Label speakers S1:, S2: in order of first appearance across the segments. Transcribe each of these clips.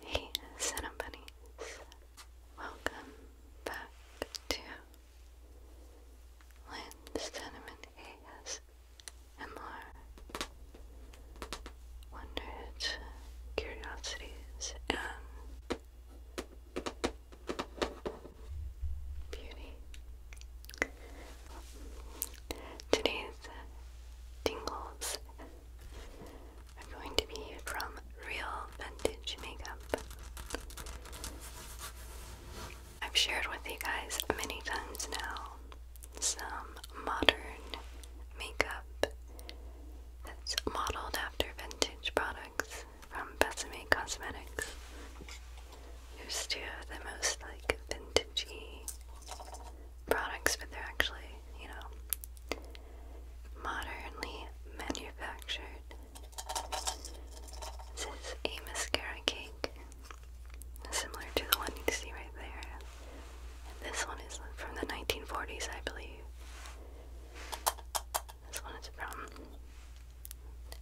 S1: Hey, Cinema Bunnies. Welcome back to Lynn Cinnamon ASMR Wonders, Curiosities, and Beauty. Today's Dingle's are going to be from Real Vintage Makeup. I've shared with you guys many times now some modern makeup that's modeled after vintage products from Besame Cosmetics. Here's two of the most like vintagey products, but they're actually, you know, modernly manufactured. This is a mascara cake, similar to the one you see right there. this one is from the 1940s, I believe. This one is from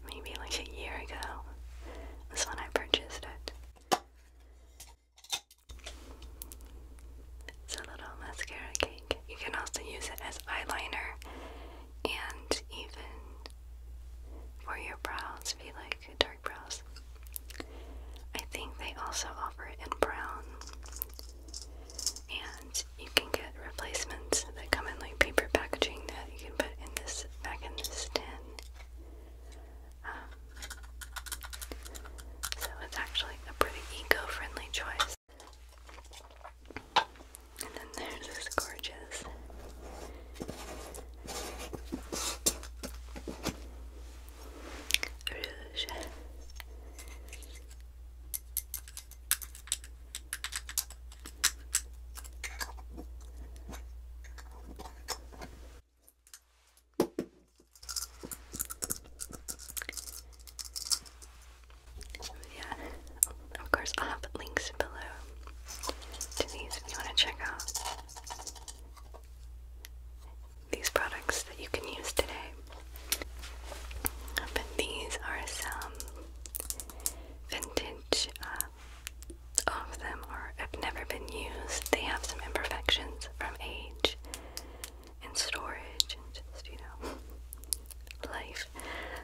S1: maybe like a year ago. This one I purchased it. It's a little mascara cake. You can also use it as eyeliner and even for your brows if you like dark brows. I think they also offer it in brown. And you can get replacements that come in like paper packaging that you can put in this back in this tin. Um, so it's actually a pretty eco-friendly choice. And then there's this gorgeous rouge yeah, of course I'll have links below to these if you want to check out these products that you can use today. But these are some vintage, uh, all of them are, have never been used. They have some imperfections from age, and storage and just, you know, life.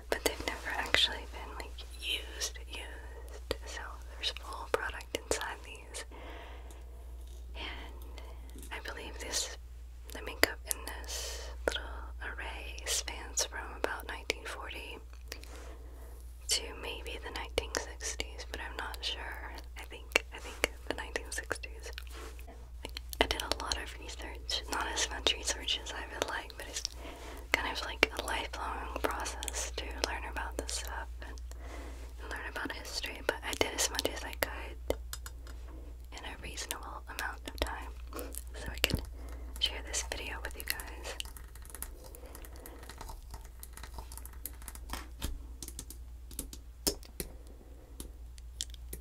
S1: But they've never actually been like used, used. So there's full product inside these. And I believe this, the makeup in this little array spans from about 1940 to maybe the 1960s, but I'm not sure. I think, I think the 1960s. I did a lot of research, not as much research as I would like, but it's kind of like a lifelong process to learn about this stuff and, and learn about history, but I did as much as I could in a reasonable amount of time so I could share this video with you guys.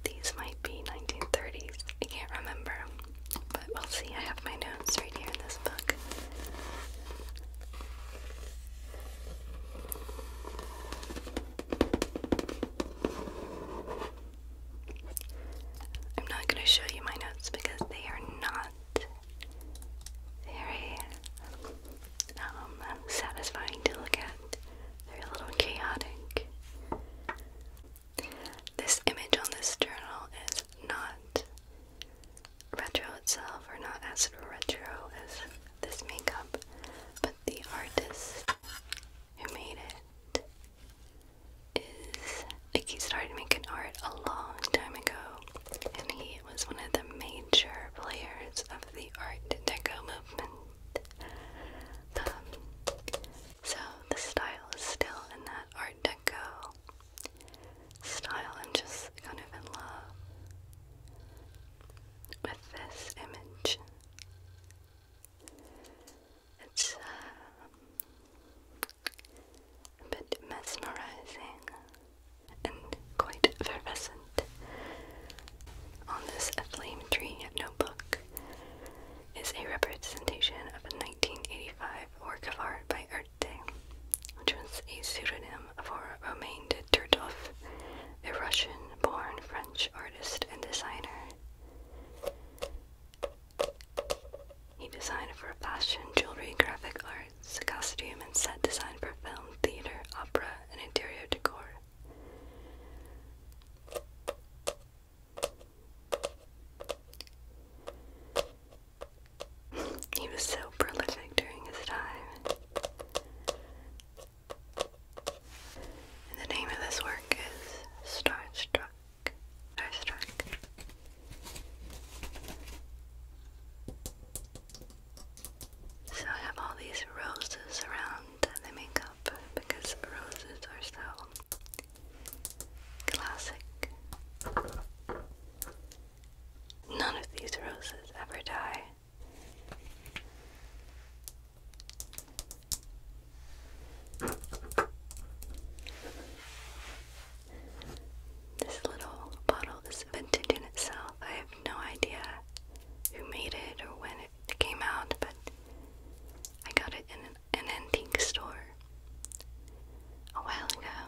S1: These might be 1930s. I can't remember. But we'll see. I have my notes right here in this book. I'm not going to show you my notes because they are not very um, satisfying to look at. They're a little chaotic. This image on this journal is not retro itself, or not as retro as this makeup, but the artist who made it is like he started making art a long time ago, and he was one of the major players of the Art Deco movement so the style is still in that Art Deco style. and just kind of in love with this image. It's uh, a bit mesmerizing and quite effervescent. On this A Flame Tree notebook is a representation of a 1985 work of art by Erte, which was a pseudonym for Romain de Turtov, a Russian-born French artist and designer. He designed for fashion, jewelry, graphic arts, costume, and set design for film, theater, opera, and interior decor he was so prolific during his time. the name of this work is Starstruck. Starstruck. So I have all these roses around the makeup because roses are so classic. None of these roses ever die. This little bottle is vintage in itself. I have no idea who made it or when it it came out, but I got it in an, antique store a while ago.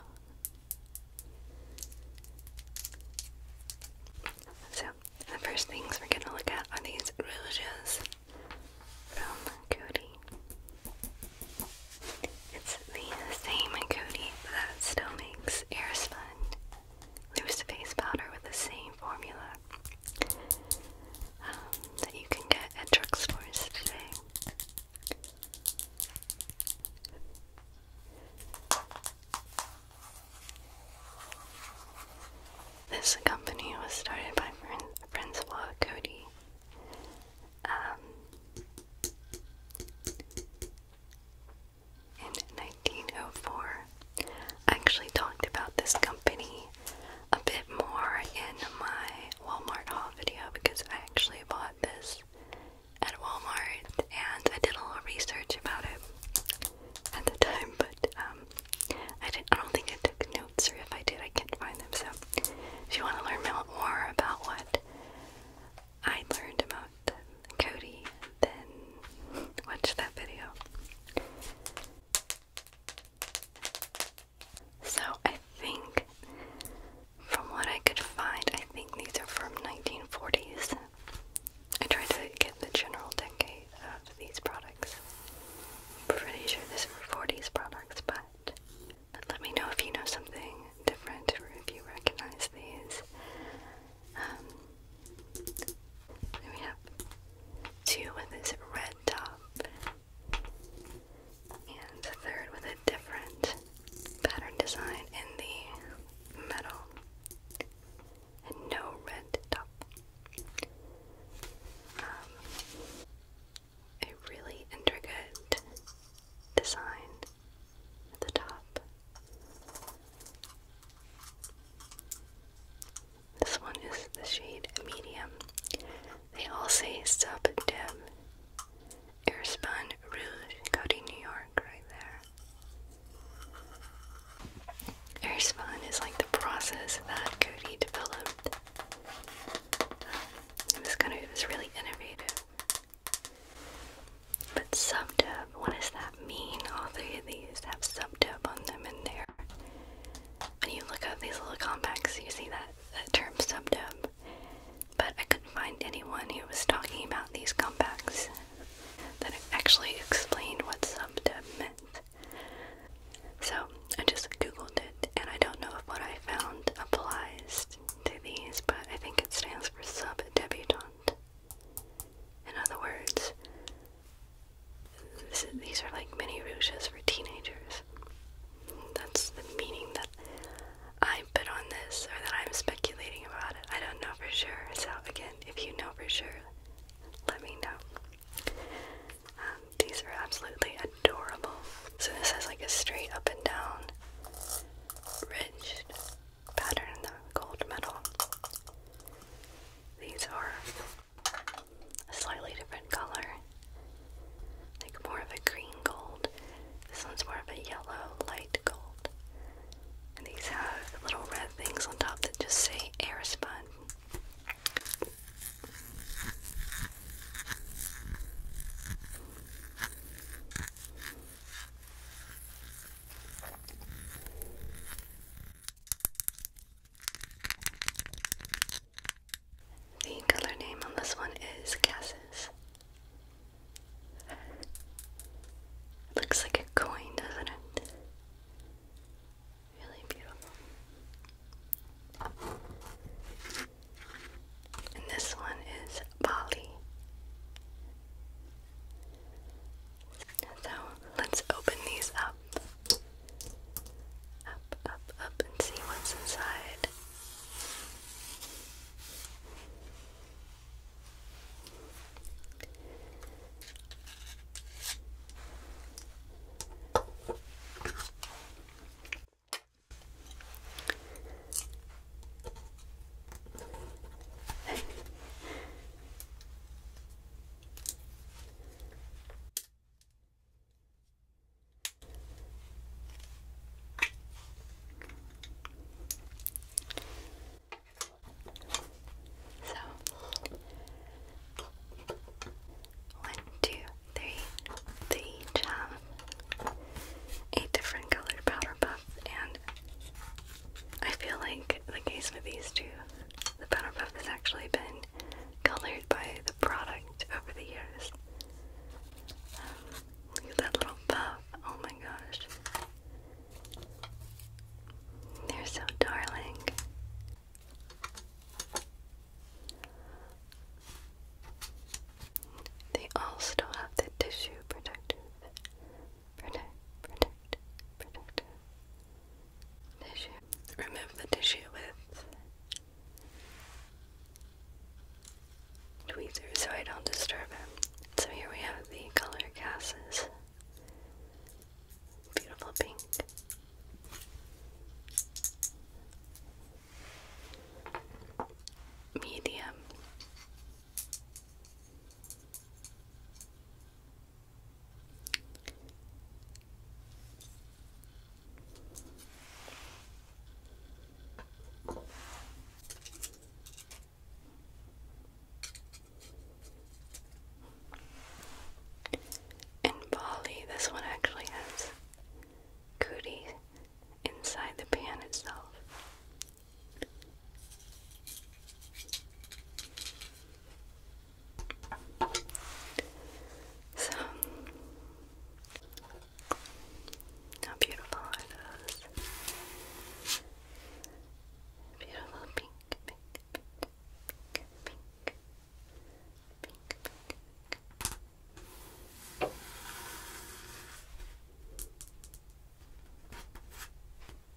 S1: So, the first things we're going to look at are these rouges from Cody. It's the same Cody, that still makes air loose face powder with the same formula um, that you can get at drugstores today. This company was started by Francois Cody. Um, in 1904. I actually talked about this company a bit more in my Walmart haul video because I actually bought this at Walmart and I did a little research about it at the time, but um, I, I don't think I took notes, or if I did, I can't find them. So, if you want to learn more about what I learned about Cody then watch that video. So I think, from what I could find, I think these are from 1940s. I tried to get the general decade of these products. pretty sure this were 40s products, but let me know if you know something different or if you recognize these we um, have two with this red top, and the third with a different pattern design in the metal, and no red top. Um, a really intricate design at the top. This one is the shade medium. They all say Sub Deb Airspun Rouge Cody, New York, right there. Airspun is like the process that Cody developed. Um, it was kind of it was really innovative. But Sub Deb what does that mean? All three of these have subdep on them in there. When you look up these little compacts, you see that, that term subdep. But I couldn't find anyone who was talking about these compacts that actually explained what subdep meant. So I just googled it, and I don't know if what I found applies to these, but I think it stands for sub-debutante. In other words, these are like mini rouges for teenagers. That's the meaning that I put on this, or that I'm speculating about it. I don't know for sure. So, again, if you know for sure, let me know. Um, these are absolutely adorable. So, this has like a straight up and down ridged pattern, the gold metal. These are a slightly different color, like more of a green gold. This one's more of a yellow, light gold. these have little red things on top that just say Airspun. The color name on this one is Cassis. Looks like a coin, doesn't it? Really beautiful. And this one is Bali. So let's open these up. Up, up, up, and see what's inside. So one, two, three. They each have a different colored powder puff, and I feel like the case with these two the pattern puff has actually been colored by the product over the years. Um, look at that little puff. Oh my gosh. They're so darling. They all still have the tissue protective. protective tissue. Remove the tissue with tweezer so I don't disturb it. So here we have the color gases. Beautiful pink. Medium in Bali, this one actually has cootie inside the pan itself. So, how beautiful are Beautiful pink, pink, pink, pink, pink. pink.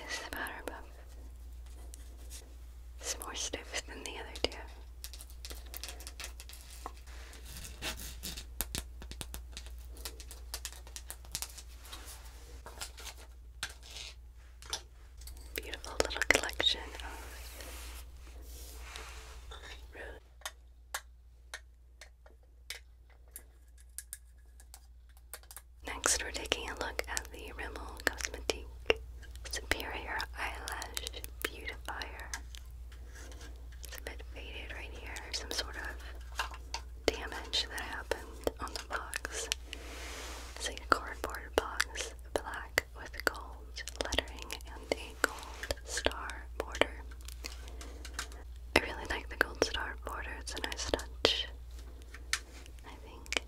S1: This powder puff. It's more stiff than the other two. Beautiful little collection Next, we're taking a look at the Rimmel Cosmetique Superior Eyelash Beautifier. It's a bit faded right here. Some sort of damage that happened on the box. It's a cardboard box, black with gold lettering and a gold star border. I really like the gold star border, it's a nice touch. I think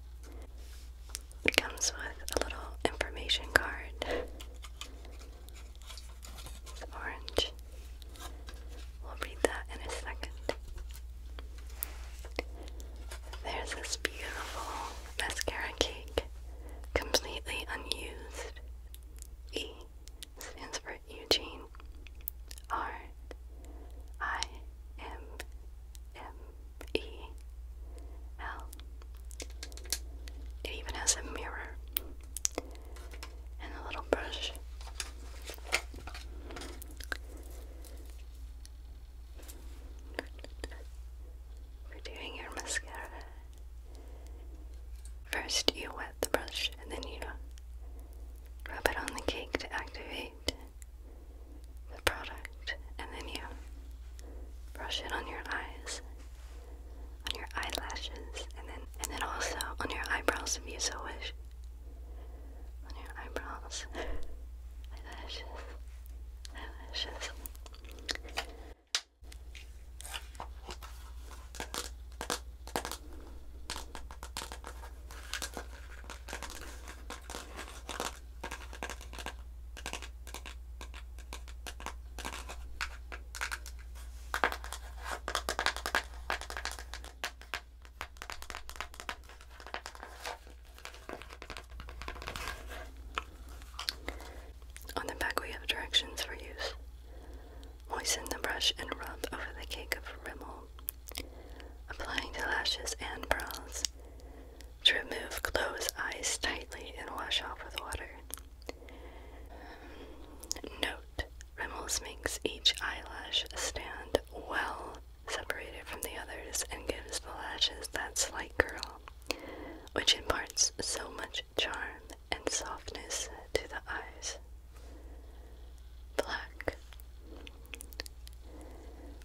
S1: it comes with a little information card orange. We'll read that in a second. There's this beautiful mascara cake, completely unused. E stands for Eugene. R I M M E L. It even has a mirror and a little brush. Good. doing your mascara. First, you wet the brush and then you rub it on the cake to activate the product, and then you brush it on your eyes on your eyelashes, and then and then also on your eyebrows if you so wish. On your eyebrows, eyelashes, eyelashes. On the back, we have directions for use. Moisten the brush and rub over the cake of Rimmel, applying to lashes and brows. To remove, close eyes tightly and wash off with water. Note Rimmels makes each eyelash stand well separated from the others and gives the lashes that slight curl, which imparts so much charm and softness to the eyes. Black.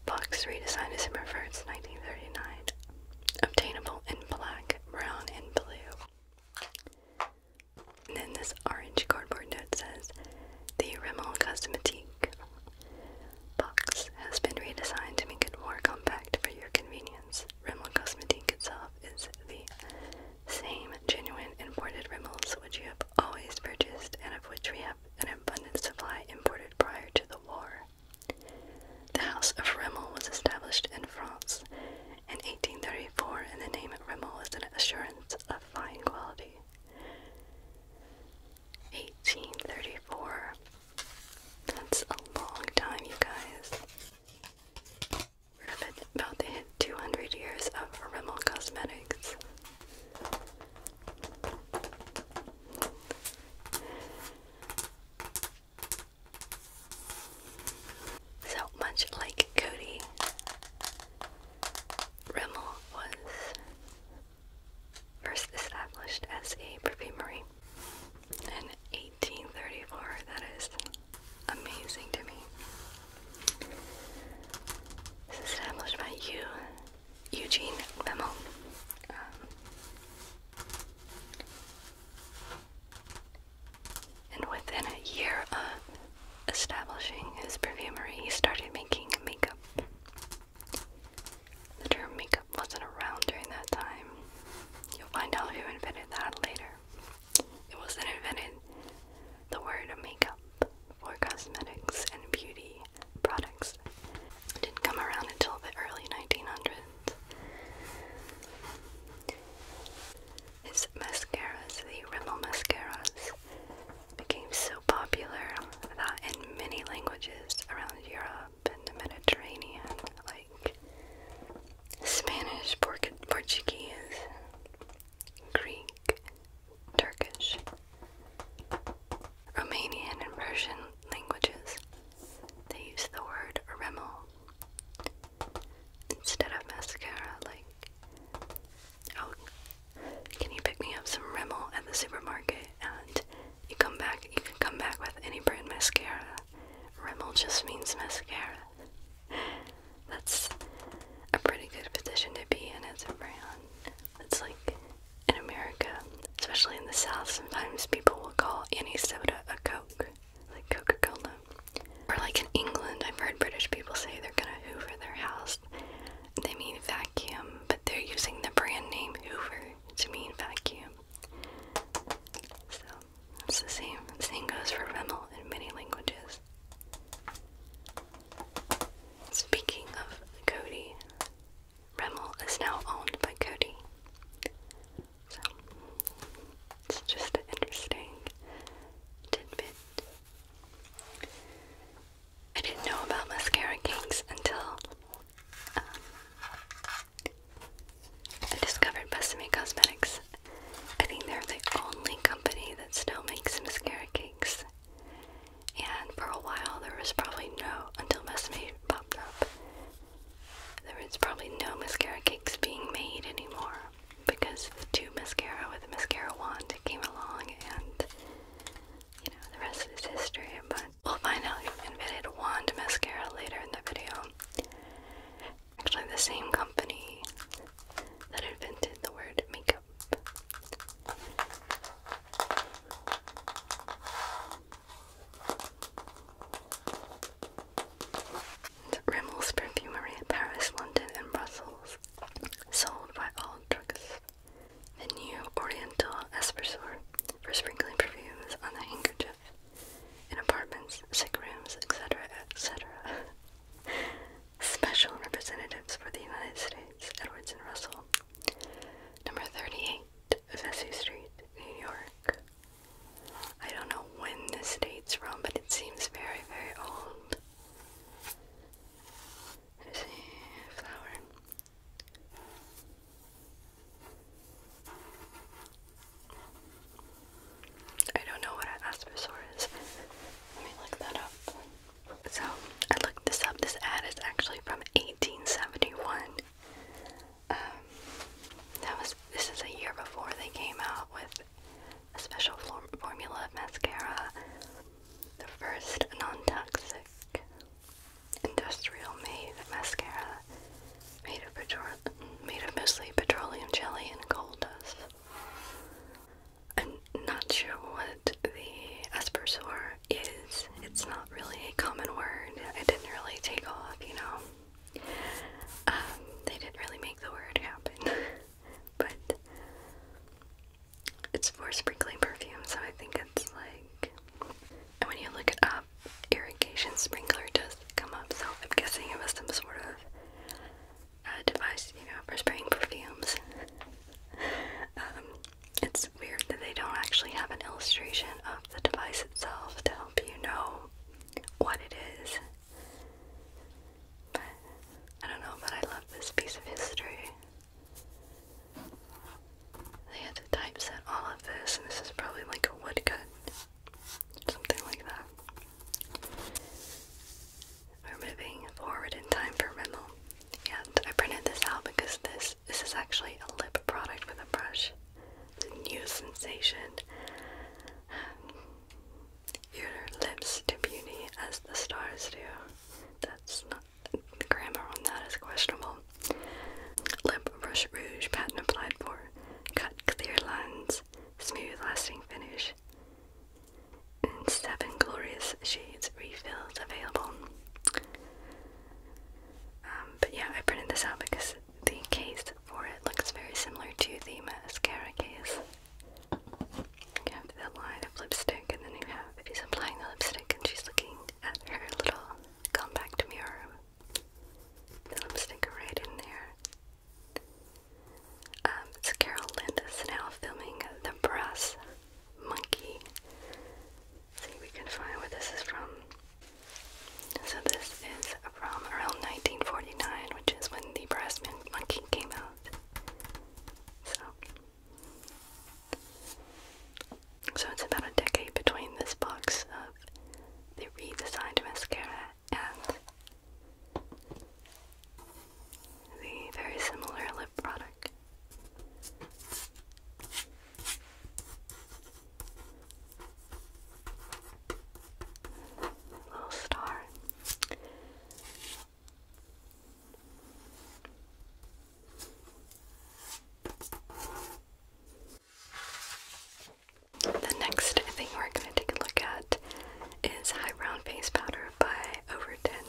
S1: Box redesign December 1st, 1939. Obtainable in black, brown, and blue. And then this orange cardboard note says, The Rimmel Cosmetique box has been redesigned to make it more compact for your convenience. Rimmel Cosmetique itself is the same genuine imported Rimmels which you have always purchased and of which we have an abundant supply imported prior to the war. The House of Rimmel was established in France in 1834, and the name Rimmel is an assurance of fine quality. 1834. That's a long time, you guys. We're about to hit 200 years of Rimmel Cosmetics. So much like Cody, Rimmel was first established as a perfumery in 1834. That is amazing to me. established by you, Eugene Rimmel. Um, and within a year of establishing his perfumery, he started making makeup. The term makeup wasn't around during that time. You'll find out who invented that later. It wasn't invented. The word makeup for cosmetics and beauty products didn't come around until the early 1900s his mascaras, the Rimmel mascaras, became so popular that in many languages around Europe and the Mediterranean, like Spanish, Portuguese, Greek, Turkish, Romanian, and Persian languages, they use the word Rimmel Instead of mascara, like, oh, can you pick me up some Rimmel at the supermarket? And you come back, you can come back with any brand mascara. Rimmel just means mascara. That's a pretty good position to be in as a brand. It's like in America, especially in the South, sometimes people will call any soda a Coke like Coca-Cola. Or like in England, I've heard British people say they're gonna hoover their house. They mean vacuum, but they're using the brand name Hoover to mean vacuum. So it's the same. same goes for Rimmel in many languages. Speaking of Cody, Rimmel is now owned by Cody. It's just interesting I didn't know about mascara cakes until um, I discovered Besame Cosmetics. I think they're the only company that still makes mascara cakes. And for a while, there was probably no, until Besame popped up, there was probably no mascara cakes being made anymore because the two mascara with the mascara wand came along and you know the rest is history but we'll find out who invented wand mascara later in the video. Actually the same company that invented the word makeup and Rimmel's Perfumery in Paris, London, and Brussels, sold by all druggists. The new Oriental Espressor for sprinkling perfumes on the handkerchief in apartments, sick rooms, etc., etc. Special representatives for the United States, Edwards and Russell. Number 38, Vesey Street, New York. I don't know when this dates from, but it seems very, very old. There's a flower. I don't know what an aspersaur Let me look that up. So, I looked this up. This ad is actually from 1871. Um, that was, this is a year before they came out with a special formula of mascara, the first non-toxic industrial made mascara made of petrol made of mostly petroleum jelly and coal dust. And not sure what the aspersor is. It's not really a common word. It didn't really take off, you know. Um, they didn't really make the word happen. but it's for sprinkling perfume, so I think it's like. And when you look up, irrigation sprinkler does come up, so I'm guessing it was some sort of uh, device, you know, for spraying perfumes. Um, it's weird that they don't actually have an illustration of the device itself to help you know what it is. I don't know, but I love this piece of history. They had to typeset all of this, and this is probably like a woodcut, something like that. We're moving forward in time for Rimmel, and I printed this out because this this is actually a lip product with a brush. It's new sensation your lips to beauty as the stars do. That's not the grammar on that is questionable. Lip brush rouge patent applied for. Cut clear lines, smooth lasting finish. And seven glorious shades refills available. Um, but yeah, I printed this out because the case for it looks very similar to the mascara case. You have the line of lipstick, and then you have she's applying the lipstick, and she's looking at her little compact mirror. lipstick right in there. Um, it's Carol Linda's now filming the brass monkey. see if we can find where this is from. So this is from around 1949, which is when the brass monkey came out. So, so it's about a decade between this box of uh, the redesigned mascara and the very similar lip product. Little star. The next thing we're going to take a look at is High Brown Face Powder by Overton.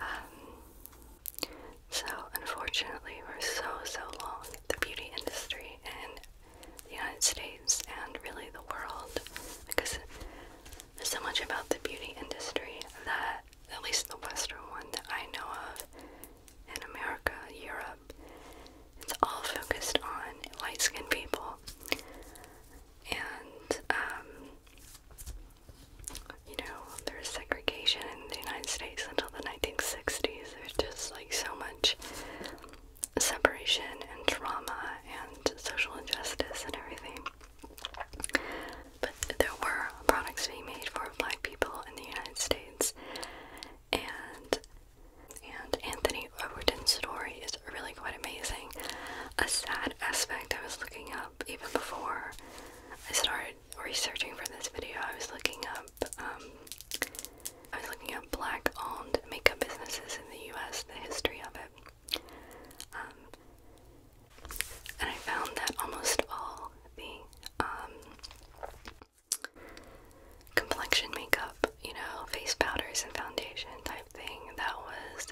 S1: Um, so, unfortunately, for so, so long, the beauty industry in the United States and really the world, because there's so much about the beauty industry that, at least the Western one that I know of, in America, Europe, it's all focused on light skinned people. And, um, you know, there's segregation in the United States until the 1960s. There's just like so much separation and trauma and social injustice and everything. But there were products being made for black people in the United States, and and Anthony Overton's story is really quite amazing. A sad aspect I was looking up even before I started researching for this video. I was looking up. Um, I was looking at black-owned makeup businesses in the U.S. The history of it. Um, and I found that almost all the um, complexion makeup, you know, face powders and foundation type thing that was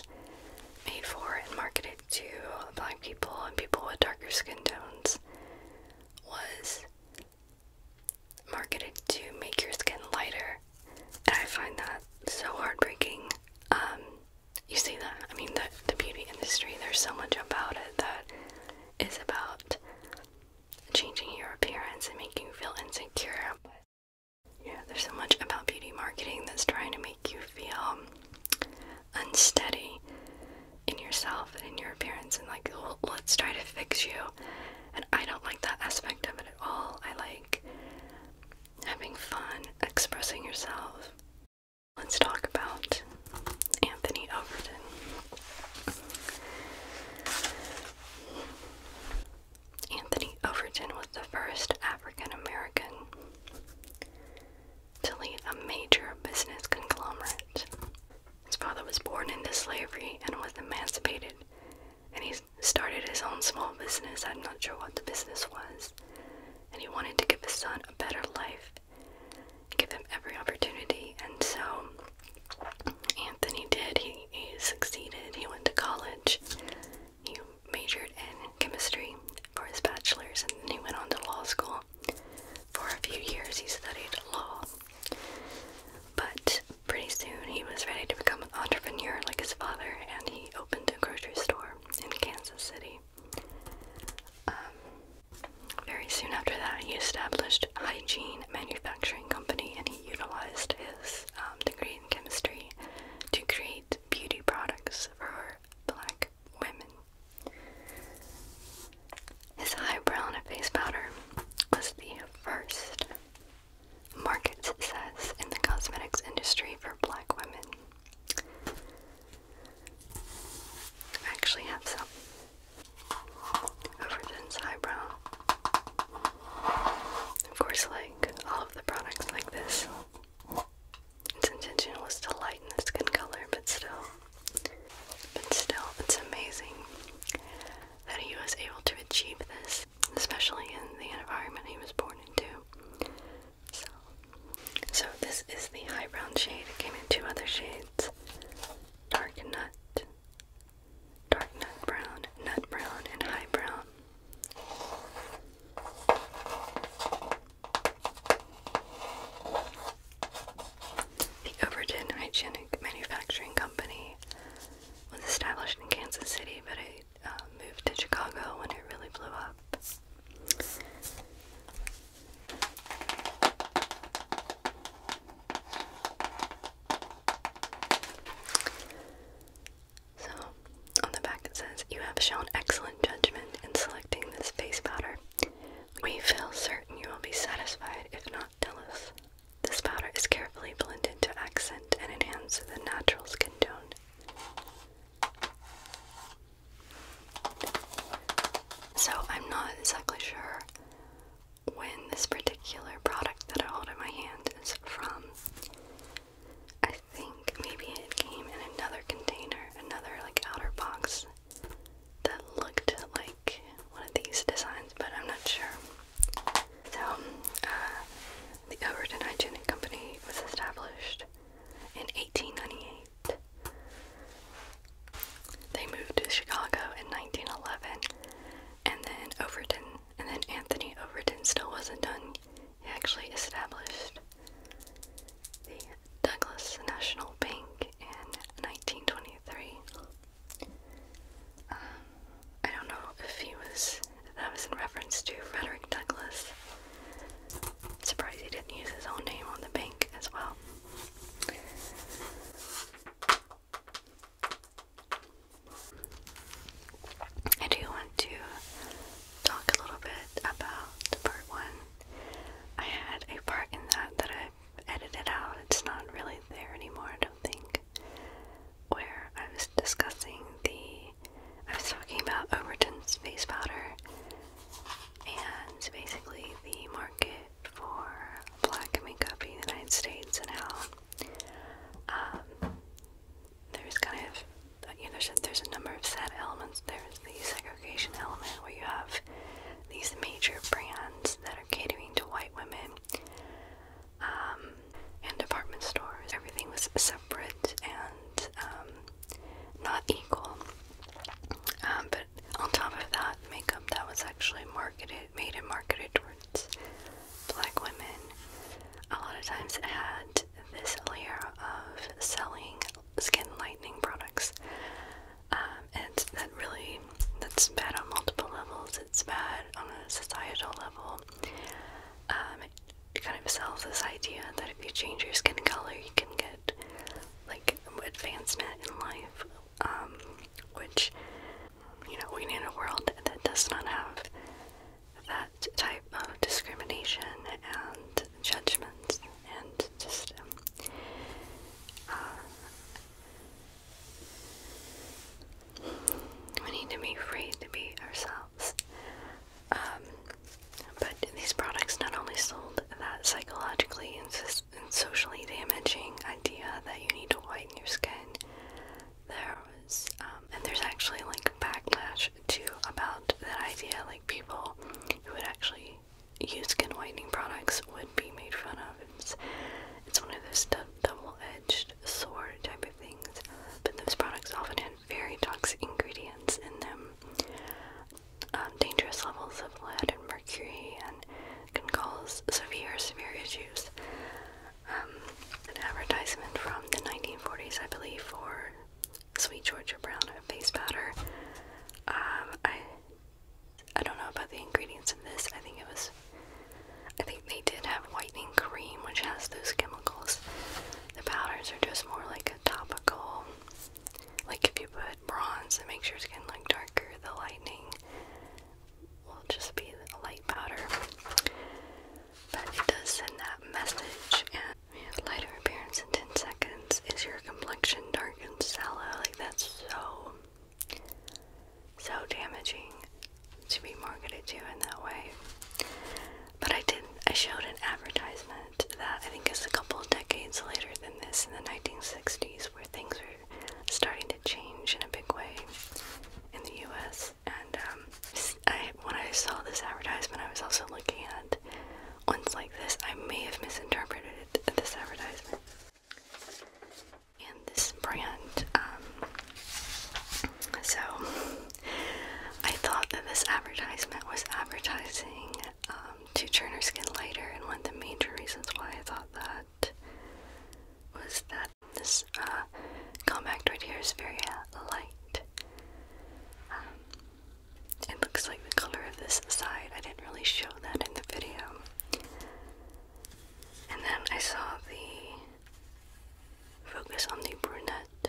S1: made for and marketed to black people and people with darker skin tones was marketed to make your skin lighter and I find that so heartbreaking. Um, you see that? I mean, the the beauty industry. There's so much about it that is about changing your appearance and making you feel insecure. yeah, there's so much about beauty marketing that's trying to make you feel unsteady in yourself and in your appearance, and like, let's try to fix you. And I don't like that aspect of it at all. I like having fun, expressing yourself. Let's talk about Anthony Overton. Anthony Overton was the first African American to lead a major business conglomerate. His father was born into slavery and was emancipated and he started his own small business. I'm not sure what the business was. And he wanted to give his son a better life, give him every opportunity. And so Anthony did. He, he succeeded. He went to college. He majored in chemistry for his bachelor's, and then he went on to law school. For a few years, he studied law. But pretty soon, he was ready to become an entrepreneur like his father, and he he opened a grocery store in Kansas City. Um, very soon after that, he established hygiene manufacturing company and he utilized his um, degree in chemistry to create beauty products for black women. His eyebrow and a face powder was the first market success in the cosmetics industry for black women. actually have some. Overton's eyebrow. Of course, like all of the products like this, its intention to lighten the skin color, but still, but still, it's amazing that he was able to achieve this, especially in the environment he was born into. So, so this is the high brown shade. It came in two other shades: dark nut, dark nut brown, nut brown, and high brown. The Overton Hygienic Manufacturing Company was established in Kansas City, but it uh, moved to Chicago when it really blew up. So, on the back it says, You have shown excellent judgment in selecting this face powder. We feel certain you will be satisfied, if not jealous. This powder is carefully blended to accent and enhance the natural skin tone. So I'm not exactly sure when this particular product that I hold in my hand is from. I think maybe it came in another container, another like outer box that looked like one of these designs, but I'm not sure. So, uh, the Overton Hygienic Company was established in 1898. They moved to Chicago in 1911, and then Overton, and then Anthony Overton still wasn't done. He actually established the Douglas National Bank in 1923. Um, I don't know if he was that was in reference to Frederick Douglass. Surprised he didn't use his own name on the bank as well. I do want to talk a little bit about part one. I had a part in that that I edited out. It's not really there anymore, I don't think. Where I was discussing the I was talking about Overton's face powder and basically the market for black makeup in the United States and how um, there's kind of you know, there's a, number of sad elements. There's the segregation element where you have these major brands that are catering to white women. Um, and department stores. Everything was separate and um, not equal. Um, but on top of that, makeup that was actually marketed, made and marketed towards black women, a lot of times it had this layer of selling skin lightening products. Um, and that really, that's bad on multiple levels. It's bad on a societal level. Um, Kind of himself this idea that if you change your skin color, you can get like advancement in life, um, which you know we need a world that does not have that type of discrimination and judgments and just um, uh, we need to be free to be ourselves. Um, but these products not only sold that psychologically and, so and socially damaging idea that you need to whiten your skin, there was, um, and there's actually like backlash too about that idea. Like people who would actually use skin whitening products would be made fun of. It's, it's one of those double-edged sword type of things. But those products often very toxic ingredients in them, um, dangerous levels of lead and mercury, and can cause severe, severe issues. Um, an advertisement from the 1940s, I believe, for Sweet Georgia Brown face powder. Um, I I don't know about the ingredients in this. I think it was. I think they did have whitening cream, which has those chem the powders are just more like a topical, like if you put bronze, it makes your skin like darker. The lightening will just be a light powder, but it does send that message. And we have lighter appearance in 10 seconds. Is your complexion dark and sallow? Like that's so, so damaging to be marketed to in that way. But I did, I showed an advertisement that I think is a couple decades later than this in the 1960s where things were starting to change in a big way in the US. And um, when I saw this advertisement, I was also looking at ones like this. I may have misinterpreted this advertisement. And this brand um, so I thought that this advertisement was advertising um, to turn her skin lighter, and one of the major reasons why I thought that was that this uh, compact right here is very uh, light. Um, it looks like the color of this side. I didn't really show that in the video. And then I saw the focus on the brunette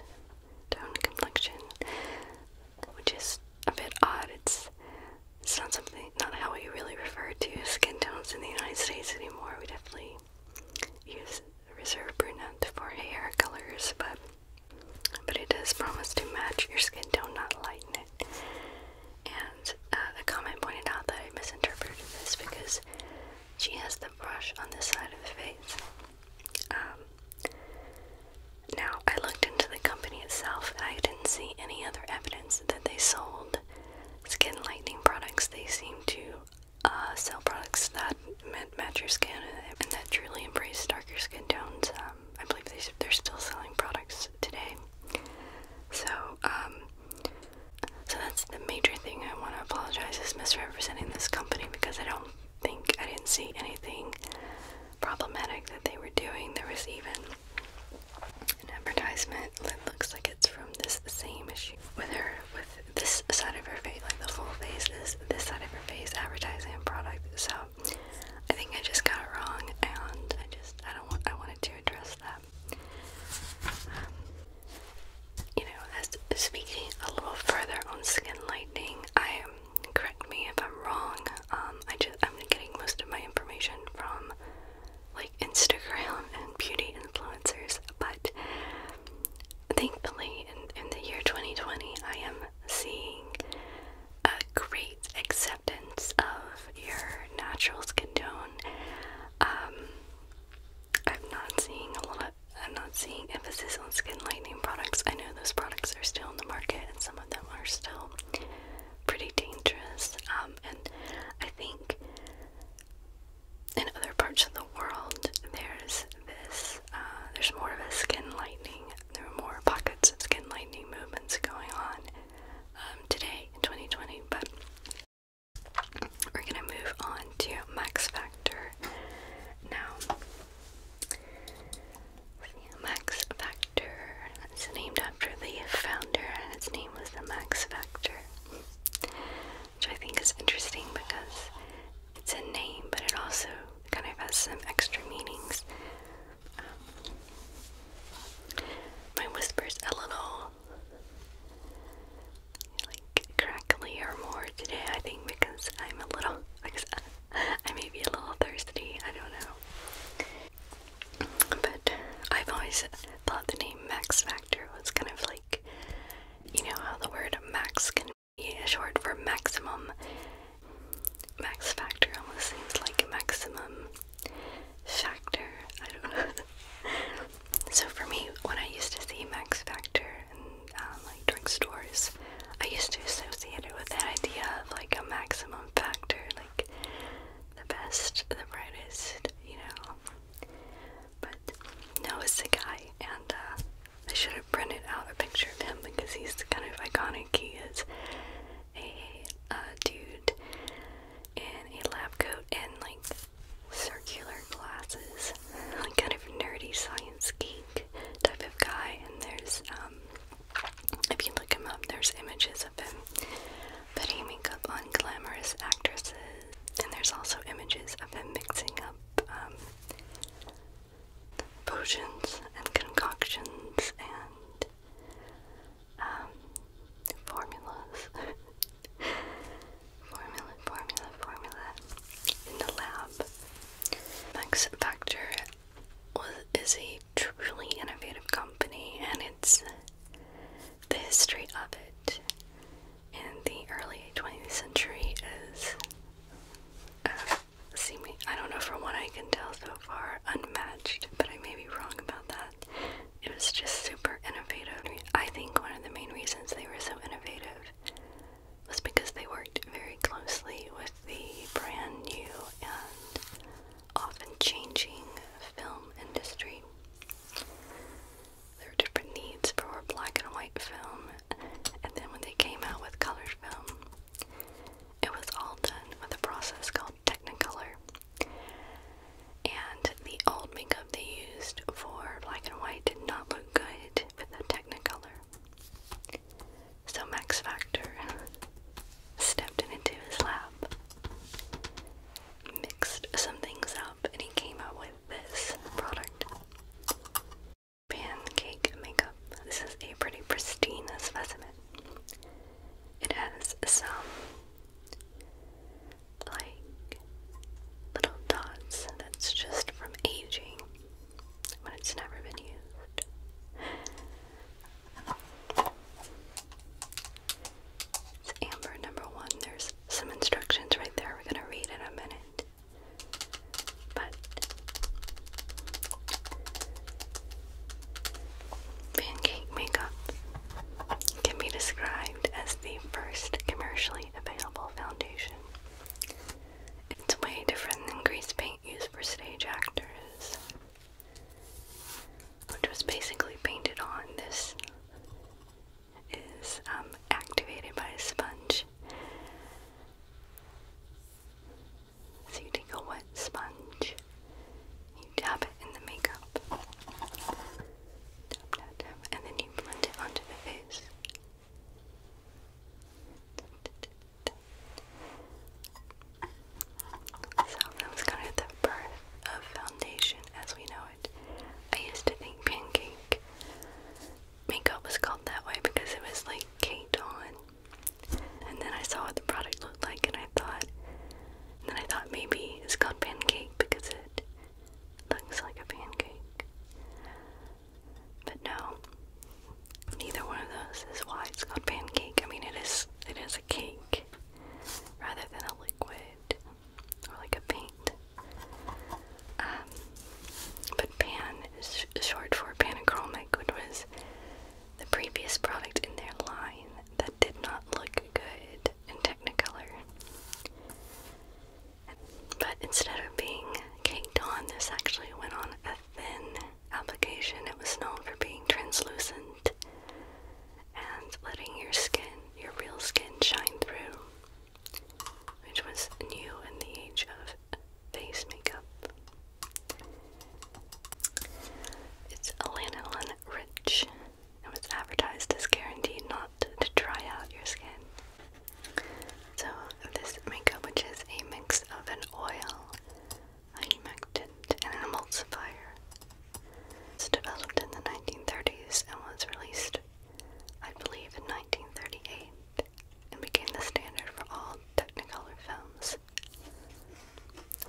S1: tone complexion, which is a bit odd. It's not something, not how we really refer to skin tones in the United States anymore. We definitely use reserve brunette for hair colors, but but it does promise to match your skin tone, not lighten it. And the uh, comment pointed out that I misinterpreted this because she has the brush on this side of the face. Um, now, I looked into the company itself and I didn't see any other evidence that they sold skin lightening products. They seem to uh, sell products that match your skin and that truly embrace darker skin tones. Um, I believe they, they're still selling products today. So, um, so that's the major thing I want to apologize is misrepresenting this company because I don't think I didn't see anything problematic that they were doing. There was even an advertisement that looks like it's from this same issue with her, with this side of her face, like the full face is this side of her face advertising a product. So I think I just got it wrong, and I just I don't want I wanted to address that. Um, you know, as speaking a little further on skin lightening, I am correct me if I'm wrong. Um, I just I'm getting most of my information from like Instagram and beauty influencers, but thankfully in, in the year 2020, I am seeing a great acceptance of your natural skin tone. Um, I'm not seeing a lot I'm not seeing emphasis on skin lightening products. I know those products are still in the market and some of them are still pretty dangerous. Um, and I think in other parts of the world there's this uh, there's more of a skin lightening. There are more pockets of skin lightening movements going on um, today in 2020, but we're gonna move on to Max Factor now. Max Factor. It's named after the founder, and its name was the Max Factor, which I think is interesting because it's a name, but it also kind of has some extra meanings. Um, my whisper's a little like crackly or more today, I think, because I'm a little like I may be a little thirsty, I don't know. But I've always thought the name Max Factor was kind of like, you know, how the word max can be a short for maximum. Max Factor almost seems like maximum factor. I don't know. so for me, when I used to see Max Factor um, like drugstores, I used to associate it with that idea of like a maximum factor, like the best, the brightest, you know. But no, it's a guy, and uh, I should have printed out a picture of him because he's kind of iconic. He is a uh, dude in a lab coat and like circular glasses, like kind of nerdy science key like type of guy, and there's um, if you look him up, there's images of him putting makeup on glamorous actresses, and there's also images of him mixing up um, potions and concoctions and um, formulas. formula, formula, formula in the lab. Max Factor is a truly innovative company, and it's the history of it in the early 20th century is, uh, see me, I don't know from what I can tell so far, unmatched, but I may be wrong about that. It was just super innovative. I think one of the main reasons they were so innovative was because they worked very closely with the brand new and often changing film industry. There were different needs for black and white film, and then when they came out with colored film, it was all done with a process called Technicolor. And the old makeup they used for black and white did not look good with the Technicolor. So Max Factor stepped into his lab, mixed some things up, and he came out with this product. Pancake makeup. This is a pretty pristine specimen. It has some like little dots that's just from aging when it's never been used. It's amber number one. There's some instructions right there. We're going to read in a minute. But pancake makeup can be described as the first commercially available foundation. It's way different than grease paint. Used for stage actors, which was basically painted on. This is um, activated by a sponge. So you take a wet sponge, you dab it in the makeup, dab, dab, dab, and then you blend it onto the face. So that was kind of the birth of foundation as we know it. I used to think pancake makeup was called that way because it was like caked on. And then I saw what the product looked like and I thought then I thought maybe it's called pancake because it looks like a pancake. But no, neither one of those is why it's called pancake. I mean, it is it is a cake rather than a liquid or like a paint. Um, but pan is short for panachromic, which was the previous product in their line that did not look good in Technicolor. But instead of being caked on, this actually went on a thin application, it was known for being translucent and letting your skin, your real skin, shine through, which was new in the age of face makeup. It's lanolin rich It was advertised as guaranteed not to dry out your skin. So this makeup, which is a mix of an oil, a humectant, and an emulsifier. It's developed in the 1930s and was released, I believe, in 1938 and became the standard for all Technicolor films.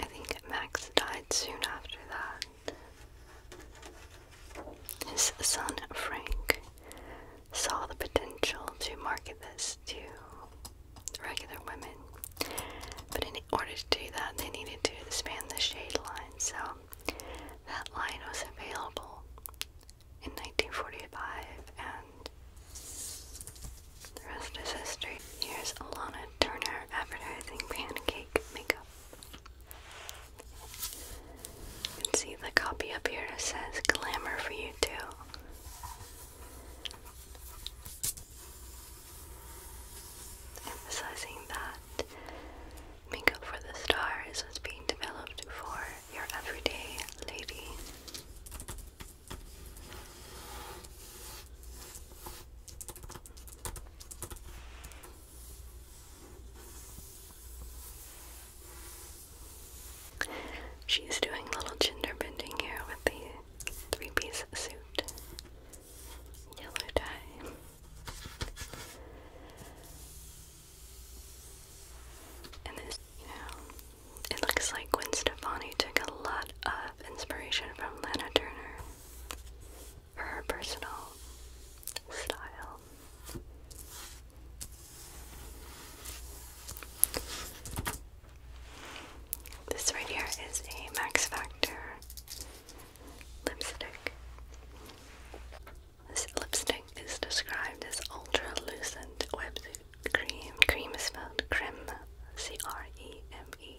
S1: I think Max died soon after that. His son Frank saw the potential to market this to regular women. But in order to do that, they needed to expand the shade line, so that line was available in 1945, and the rest is history. Here's Alana Turner advertising pancake makeup. You can see the copy up here says Glamour for You Too. Emphasizing that makeup for the stars was being developed for your everyday lady. She's doing little gender bending here with the three piece suit, yellow tie. And this, you know, it looks like Gwen Stefani took a lot of inspiration from Lana Turner for her personal style. This right here is a Max Factor lipstick. This lipstick is described as ultralucent lucent wetsuit cream. Cream is spelled creme, C-R-E-M-E.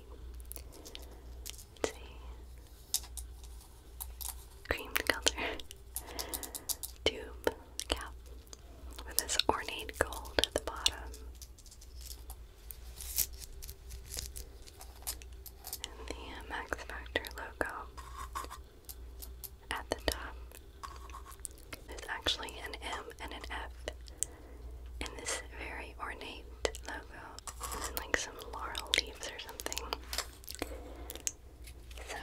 S1: -E. Creamed color. Tube cap with this ornate gold at the bottom. And the uh, Factor logo at the top. There's actually an M and an F in this very ornate logo. And like some laurel leaves or something. So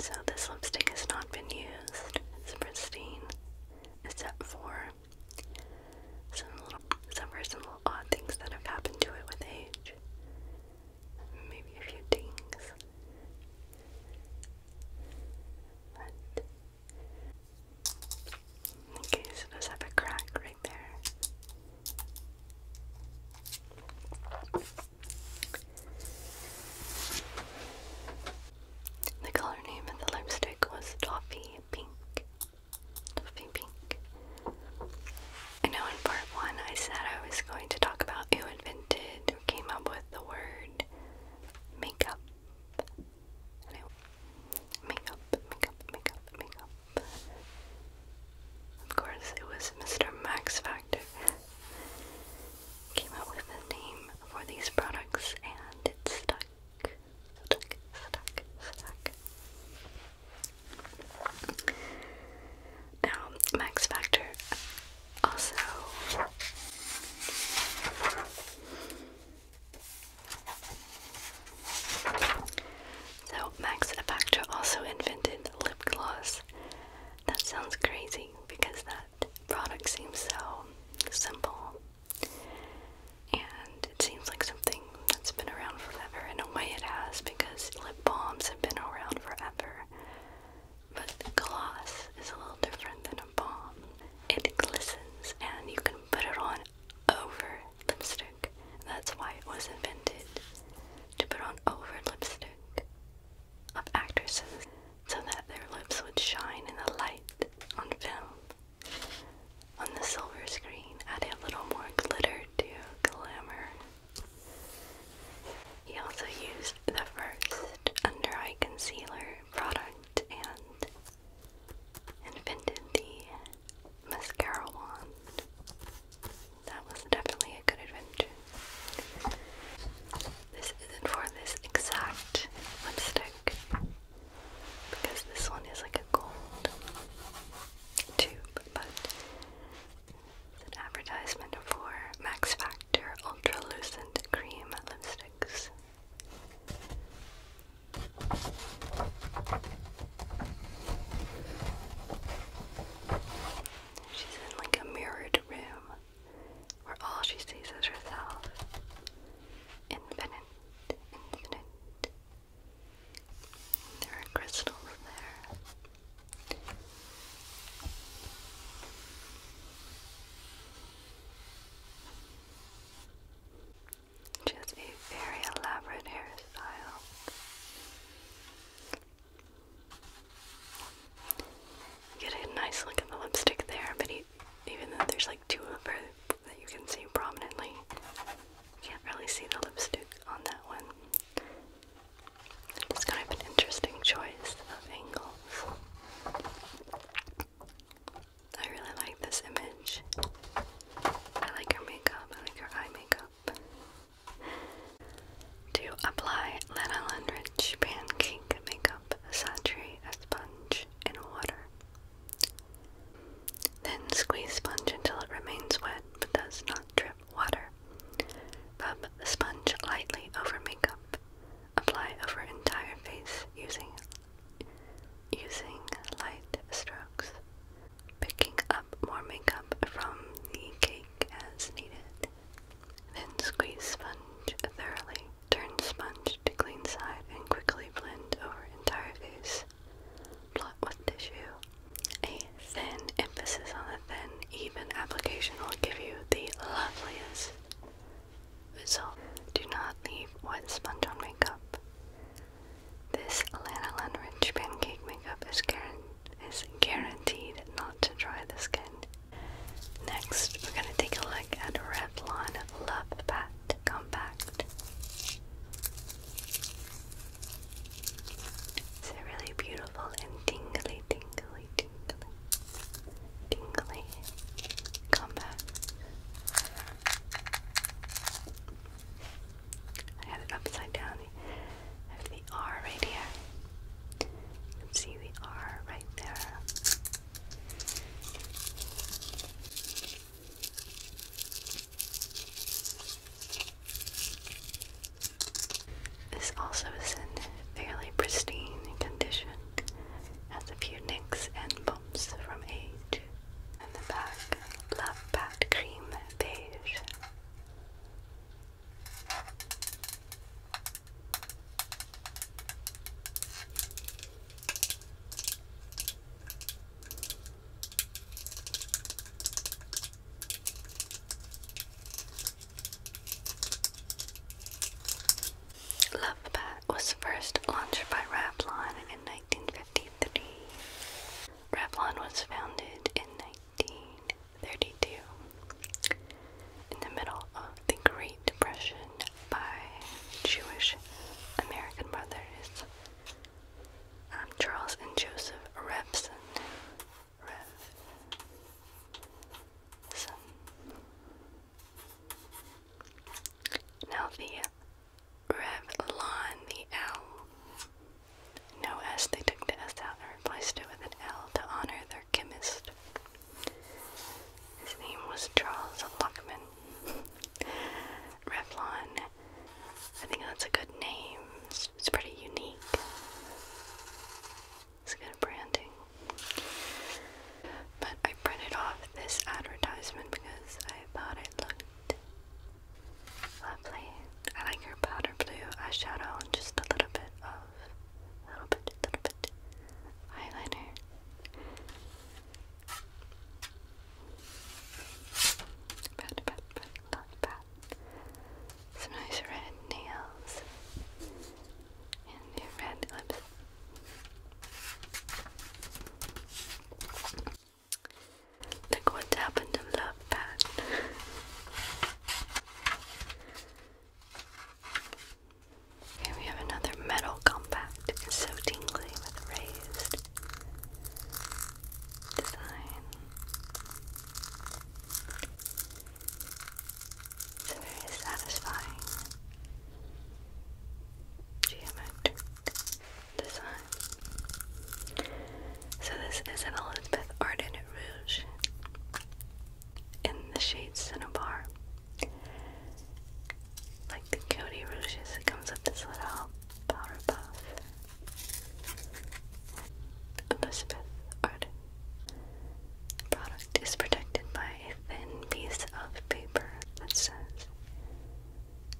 S1: so this lipstick has not been used. It's pristine, except for some little, some for some little odd things that have happened to it with age. Maybe a few dings. okay, so does have a crack right there. The color name of the lipstick was Toffee Pink. Toffee Pink. I know in part one I said I was going to talk about who invented, who came up with the word makeup. And I, makeup, makeup, makeup, makeup. Of course, it was Mr. Max Factor came up with a name for these products and it's stuck. Stuck, stuck, stuck. Now, Max Factor also so Max Factor also invented lip gloss. That sounds crazy because that that product seems so simple and it seems like something that's been around forever. In a way, it has because lip balms have been around forever. But gloss is a little different than a balm. It glistens and you can put it on over lipstick. That's why it was invented to put on over lipstick of actresses so that their lips would shine in the light on film. On the silver screen, add a little more glitter to glamour. He also used the first under eye concealer product and invented the mascara wand. That was definitely a good adventure. This isn't for this exact lipstick because this one is like a gold tube, but it's an advertisement for Max Factor Ultra Lucent Cream Lipsticks. She's in like a mirrored room where all she sees is herself. Infinite, infinite. There are crystals there. She a very elaborate hairstyle. Get a nice look at the lipstick there, but even though there's like two of her that you can see prominently, you can't really see the lipstick on that one. It's kind of an interesting choice of angles. I really like this image. I like her makeup, I like her eye makeup. To apply Lana Lundridge Pancake Makeup Saturday a sponge in water. Then squeeze sponge until it remains wet but does not drip water. Rub the sponge lightly over makeup. Apply over entire face using using light strokes. Picking up more makeup from the cake as needed. Then squeeze sponge thoroughly Turn sponge to clean side and quickly blend over entire face. Blot with tissue. A thin emphasis on a thin, even application will give you the loveliest result. Do not leave wet sponge on makeup. This lanolin rich pancake makeup is, guaran is guaranteed not to dry the skin Next, we're going to take a look at Revlon Love Pat Compact. It's a really beautiful and tingly, tingly, tingly, tingly compact. I had it upside down. I have the R right here. You can see the R right there. This also is in fairly pristine condition, has a few nicks and bumps from age. And the back, Love Pat Cream Beige. Love was first launched by Revlon in 1953. Revlon was founded in 1932 in the middle of the Great Depression by Jewish American brothers um, Charles and Joseph Revson. Now the Revlon, the L. No S, they took the S out and replaced it with an L to honor their chemist. His name was Charles Lockman. Revlon. I think that's a good name. It's, pretty unique. It's good branding. But I printed off this advertisement because I thought it looked lovely. I like her powder blue eyeshadow and just a little bit of little bit, little bit eyeliner. Pat, pat, pat, pat, pat. Some nice red nails and red lips. Look what's happened to love, Pat we have another metal compact. It's so tingly with raised design. It's very satisfying geometric design. So this is an Elizabeth Arden Rouge in the shade Cinnabar. Like the Cody Rouges, it comes with this little powder puff. Elizabeth Arden. product is protected by a thin piece of paper that says,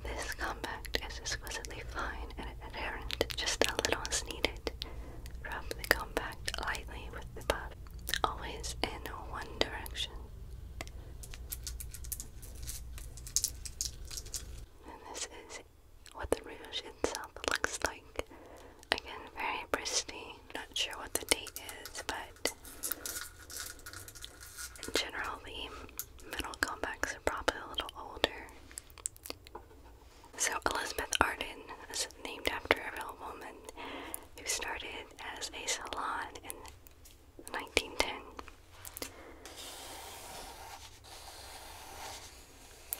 S1: This compact is exquisitely fine and adherent, just a little as needed. Rub the compact lightly with the puff, always in one direction. And this is what the rouge itself looks like. Again, very pristine. Not sure what the date is, but in general, the metal probably a little older. So, Elizabeth Arden is named after a real woman who started as a salon in 1910.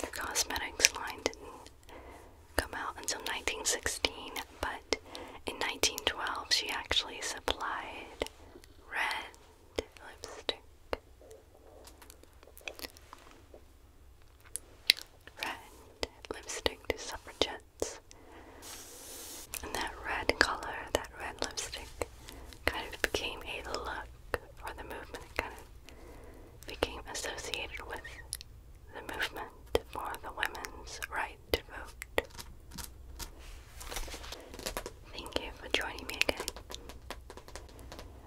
S1: The cosmetics line didn't come out until 1916, but in 1912 she actually supplied red lipstick. Red lipstick to suffragettes. And that red color, that red lipstick, kind of became a look for the movement. kind of became associated with the movement for the women's right to vote. Thank you for joining me again.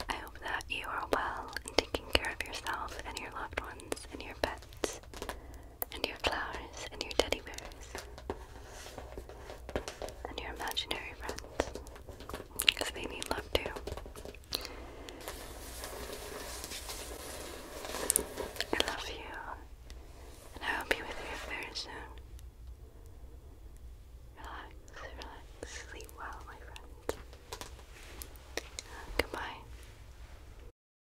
S1: I hope that you are well and taking care of yourself and your loved ones and your pets and your flowers, and your teddy bears, and your imaginary friends, because they need love too. I love you, and I will be with you very soon. Relax, relax, sleep well, my friends. goodbye.